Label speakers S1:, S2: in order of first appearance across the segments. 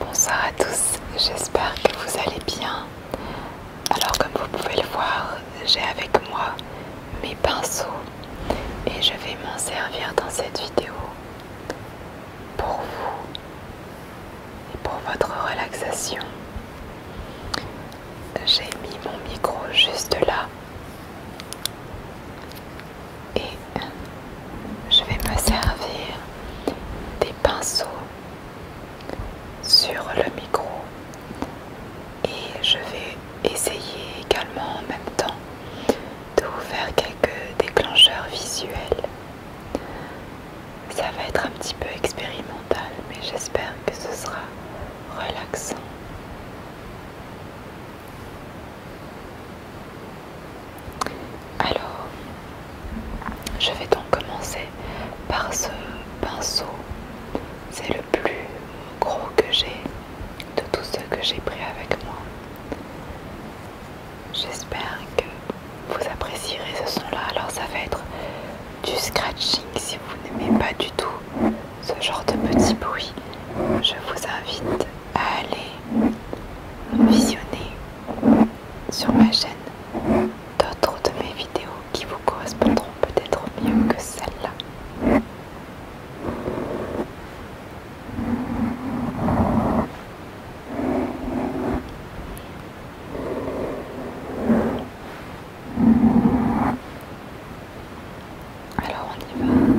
S1: Bonsoir à tous, j'espère que vous allez bien. Alors comme vous pouvez le voir, j'ai avec moi mes pinceaux et je vais m'en servir dans cette vidéo pour vous et pour votre relaxation. J'ai mis mon micro juste là et euh, je vais me servir des pinceaux sur le micro et je vais essayer également en même temps de vous faire quelques déclencheurs visuels. Ça va être un petit peu expérimental mais j'espère que ce sera relaxant. Alors, je vais donc commencer par ce pinceau. C'est le plus gros que j'ai de tous ceux que j'ai pris avec moi. J'espère que vous apprécierez ce son-là. Alors ça va être du scratching si vous n'aimez pas du tout ce genre de petits bruits, Je vous invite à aller visionner sur ma chaîne d'autres de mes vidéos qui vous correspondront peut-être mieux que celle-là. I don't want to do that.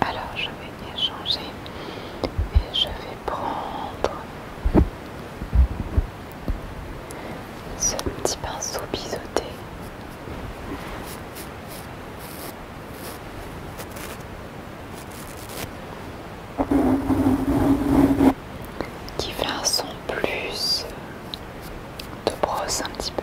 S1: Alors je vais changer et je vais prendre ce petit pinceau biseauté qui fait un son plus euh, de brosse un petit peu.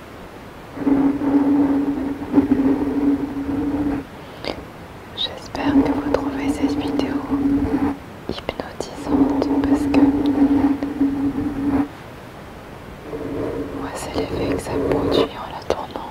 S1: J'espère que vous trouvez cette vidéo hypnotisante parce que moi c'est l'effet que ça produit en la tournant.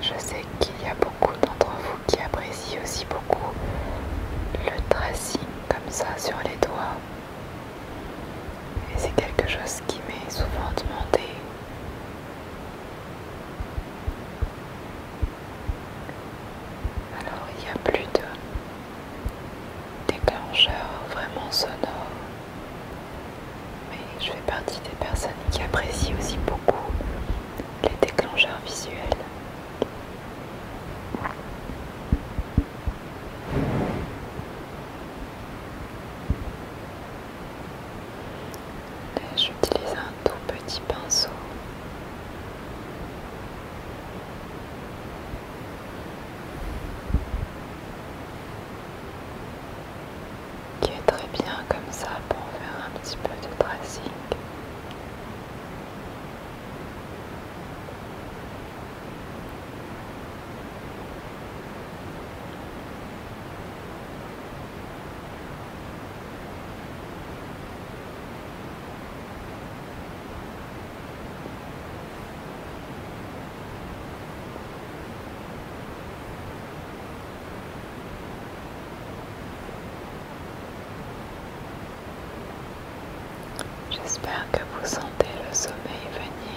S1: Je sais qu'il y a beaucoup d'entre vous qui apprécient aussi beaucoup le tracing comme ça sur les doigts. Et c'est quelque chose qui m'est souvent demandé. Alors il n'y a plus de déclencheur vraiment sonore. Mais je fais partie des personnes qui apprécient aussi beaucoup les déclencheurs visuels. J'utilise un tout petit pinceau qui est très bien comme ça pour faire un petit peu de tracing. J'espère que vous sentez le sommeil venir.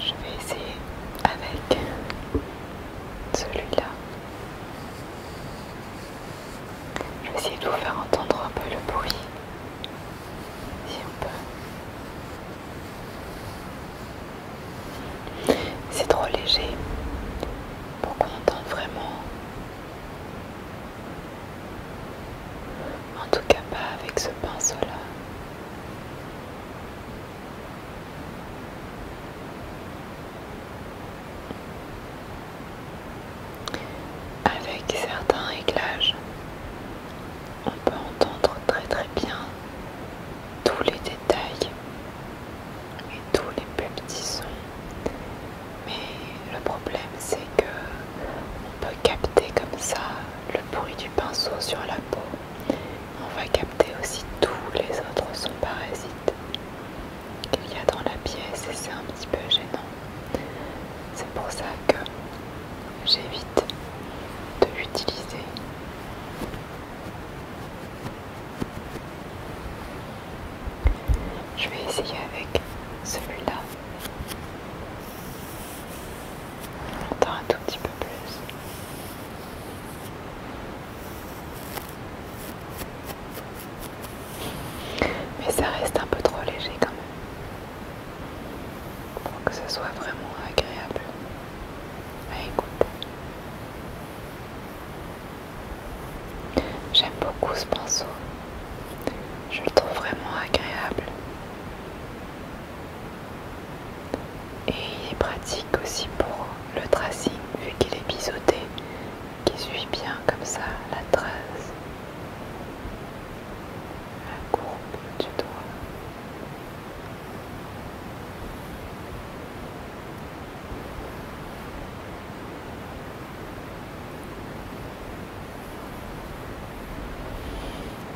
S1: Je vais essayer avec celui-là. Je vais essayer de vous faire entendre un peu le bruit. Si on peut. C'est trop léger pour qu'on entende vraiment. En tout cas pas avec ce pinceau là. Avec certains réglages, on peut entendre très très bien tous les détails et tous les petits sons. Mais le problème c'est que on peut capter comme ça le bruit du pinceau sur la peau. On va capter aussi tous les autres sons parasites qu'il y a dans la pièce et c'est un petit peu gênant. C'est pour ça que j'évite de l'utiliser. Je vais essayer avec celui-là. Attends un tout petit peu plus. Mais ça reste un peu trop léger quand même. Pour que ce soit vraiment agréable à écouter. J'aime beaucoup ce pinceau. Je le trouve vraiment agréable. Et il est pratique aussi pour le tracing vu qu'il est biseauté, qui suit bien comme ça la trace, la courbe du doigt.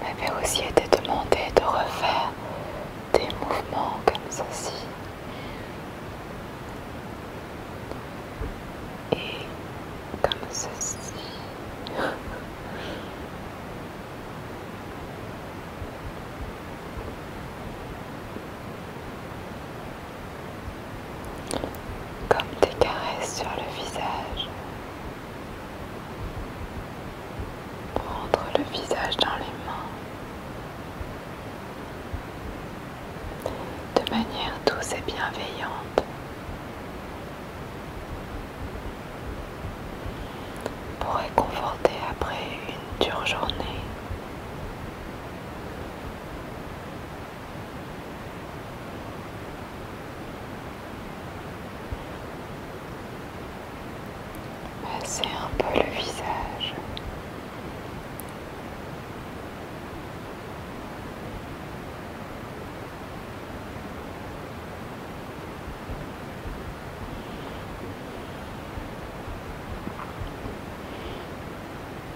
S1: M'avait aussi été demandé de refaire des mouvements comme ceci. Et comme ceci comme des caresses sur le visage. Prendre le visage dans les mains de manière douce et bienveillante. Pour réconforter après une dure journée. C'est un peu le visage.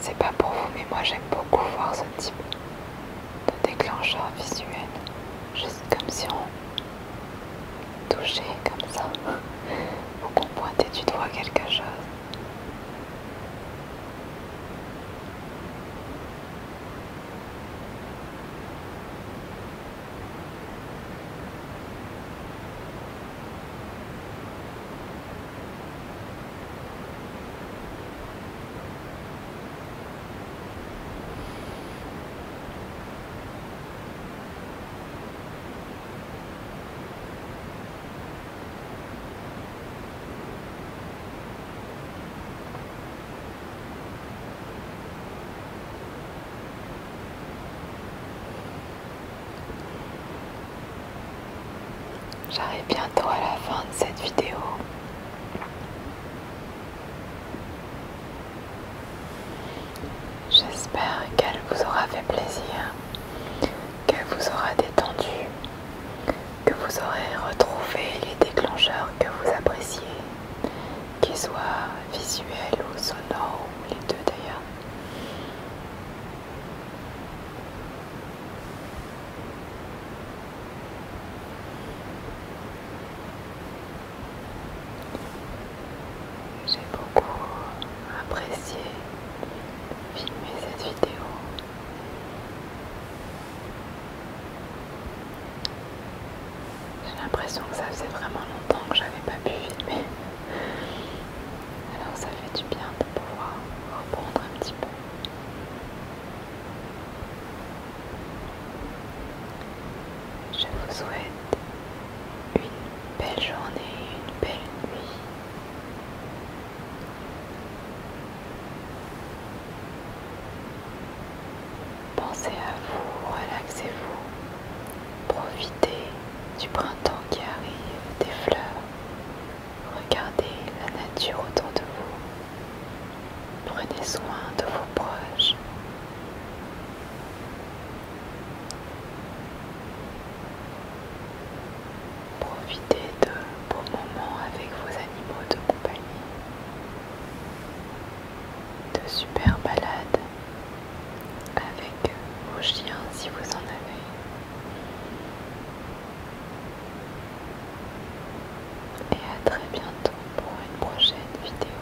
S1: C'est pas pour vous, mais moi j'aime beaucoup voir ce type de déclencheur visuel, juste comme si on toucher comme ça pour pointer du doigt quelque chose. J'arrive bientôt à la fin de cette vidéo. J'espère qu'elle vous aura fait plaisir, qu'elle vous aura détendu, que vous aurez retrouvé les déclencheurs que vous appréciez, qu'ils soient visuels ou sonores, ou les deux d'ailleurs. J'ai beaucoup apprécié filmer cette vidéo. J'ai l'impression que ça faisait vraiment longtemps que j'avais pas pu filmer. Alors ça fait du bien de pouvoir reprendre un petit peu. Je vous souhaite une belle journée, une belle nuit. Pensez à vous, relaxez-vous, profitez du printemps qui arrive, des fleurs, regardez la nature autour de vous, prenez soin de vos proches. Profitez de beaux moments avec vos animaux de compagnie, de super balades avec vos chiens si vous en avez. Et à très bientôt pour une prochaine vidéo.